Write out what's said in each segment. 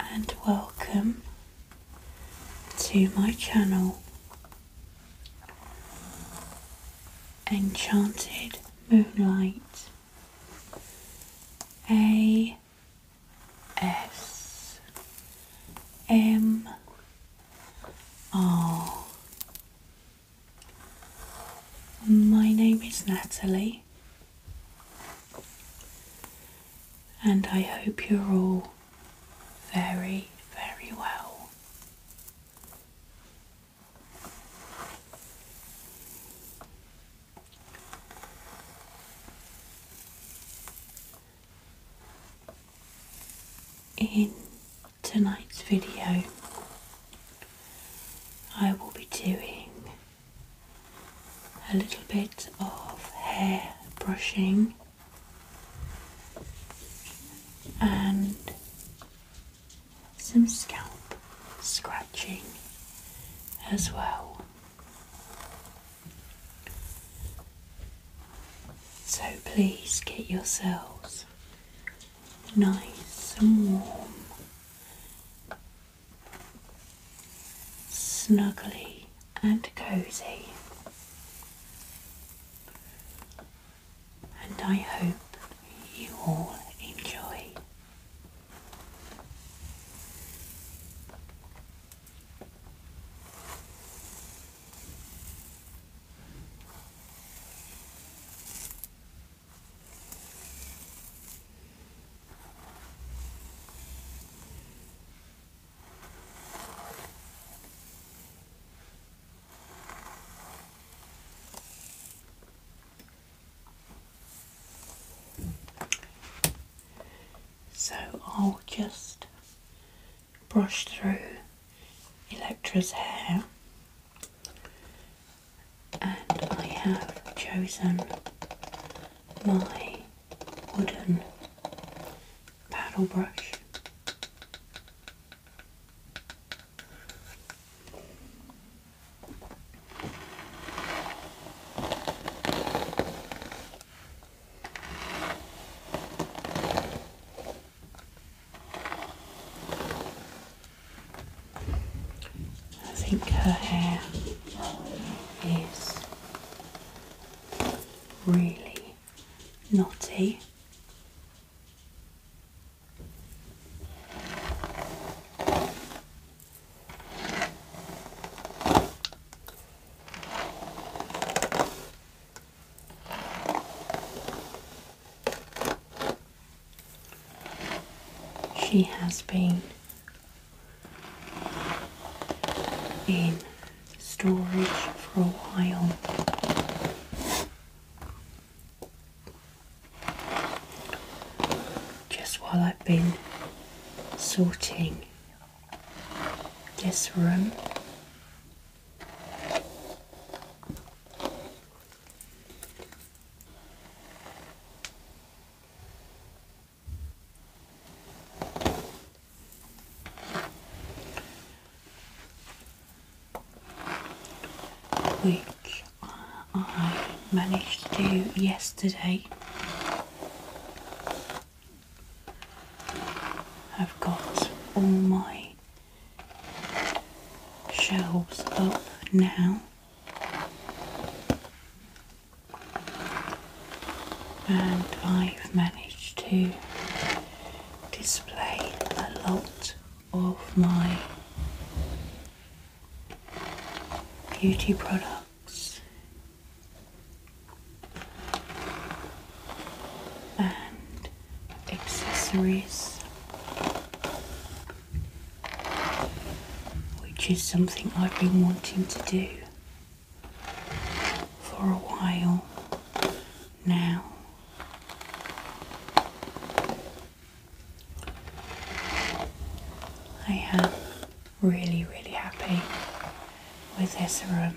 and welcome to my channel Enchanted Moonlight A S M R my name is Natalie, and I hope you're all very, very well. In tonight's video, I will be doing a little bit of hair brushing and some scalp scratching as well. So please get yourselves nice and warm snuggly and cozy. And I hope you all enjoy. So I'll just brush through Electra's hair and I have chosen my wooden paddle brush. I think her hair is really knotty. She has been in storage for a while. Just while I've been sorting this room which I managed to do yesterday. I've got all my shelves up now and I've managed to display a lot of my beauty products and accessories which is something I've been wanting to do for a while now. I am really, really happy with this room.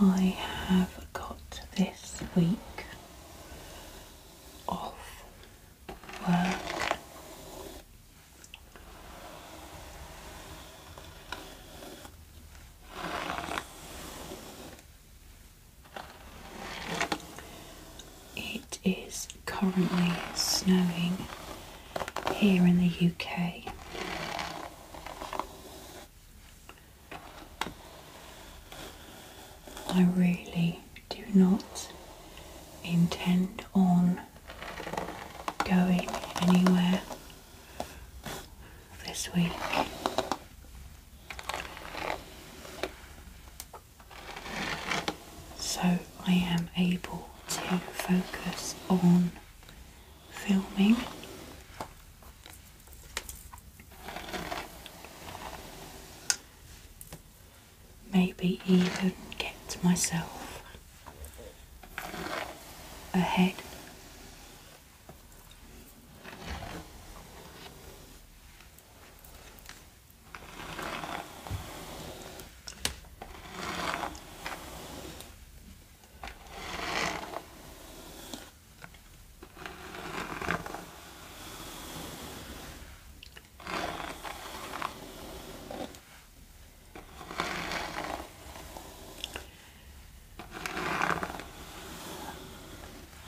I have got this week off work. It is currently snowing here in the UK. I really do not intend on going anywhere this week. So I am able to focus on filming. Maybe even get myself ahead.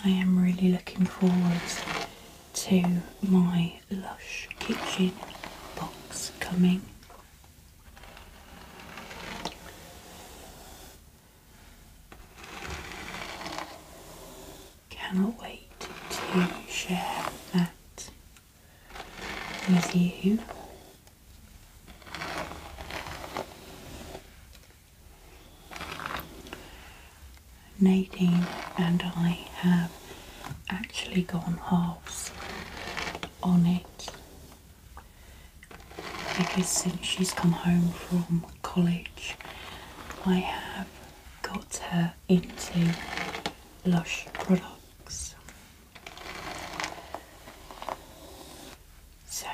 I am really looking forward to my Lush Kitchen box coming. Cannot wait to share that with you. Nadine and I have actually gone halves on it because since she's come home from college I have got her into Lush products. So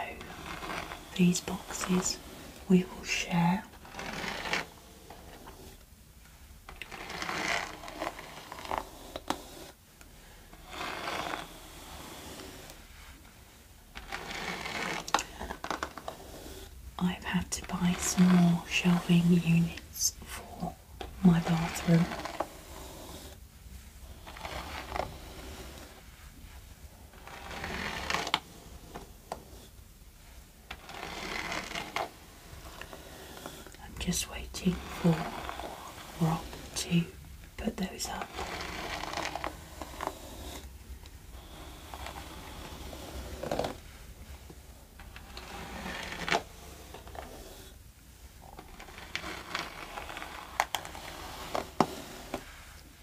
these boxes we will share I've had to buy some more shelving units for my bathroom. I'm just waiting for Rob to put those up.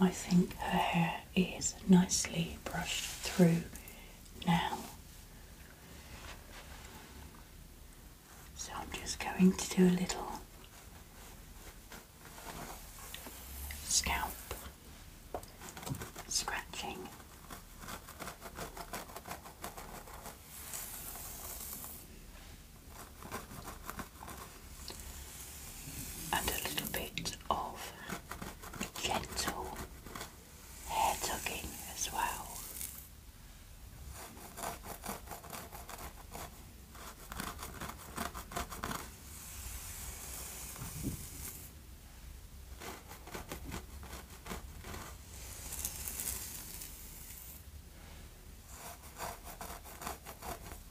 I think her hair is nicely brushed through now. So I'm just going to do a little scalp scratching and a little bit of gentle hair tugging as well.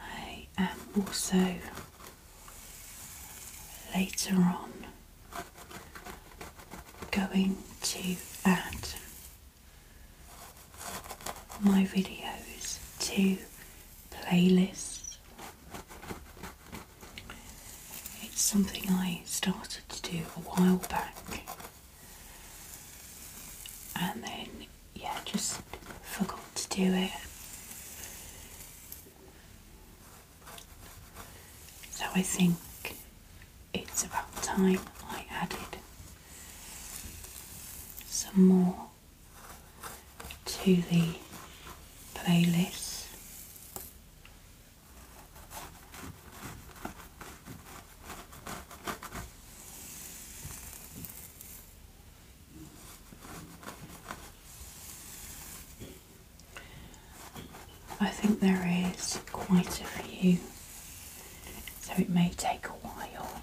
I am also later on going to add my videos to playlists it's something I started to do a while back and then, yeah, just forgot to do it. So I think it's about time I added some more to the playlist. I think there is quite a few, so it may take a while.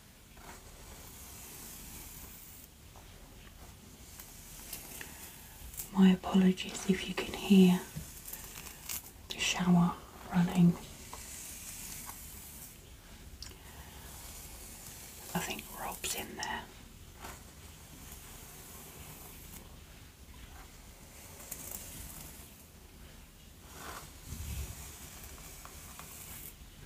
My apologies if you can hear the shower running. I think Rob's in there.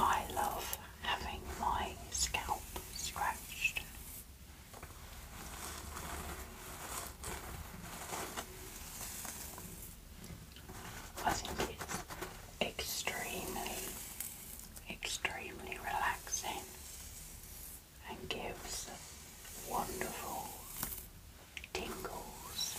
I love having my scalp scratched I think it's extremely, extremely relaxing and gives wonderful tingles.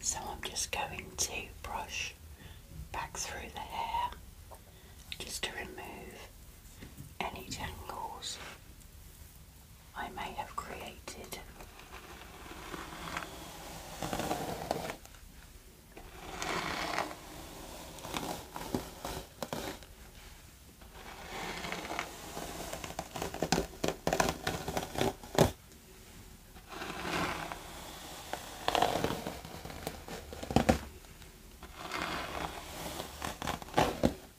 So I'm just going to brush back through the hair just to remove any tangles I may have created.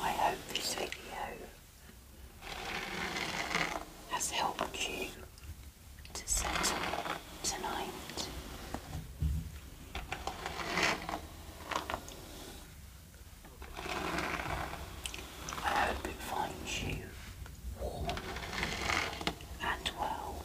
I hope this video has helped you to settle tonight. I hope it finds you warm and well.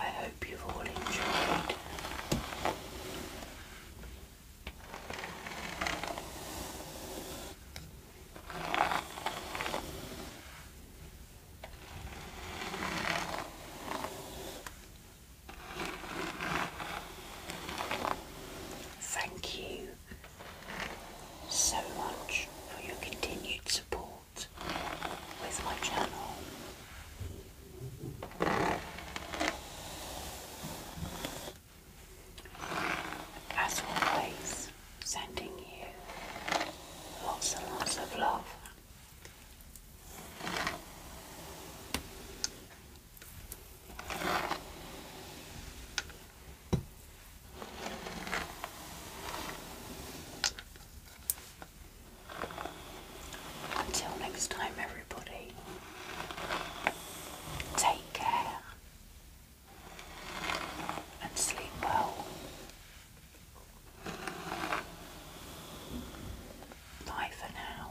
I hope you've all enjoyed Thank you so much for your continued support out with my channel. As always, sending you lots and lots of love. Until next time, everybody, take care and sleep well. Bye for now.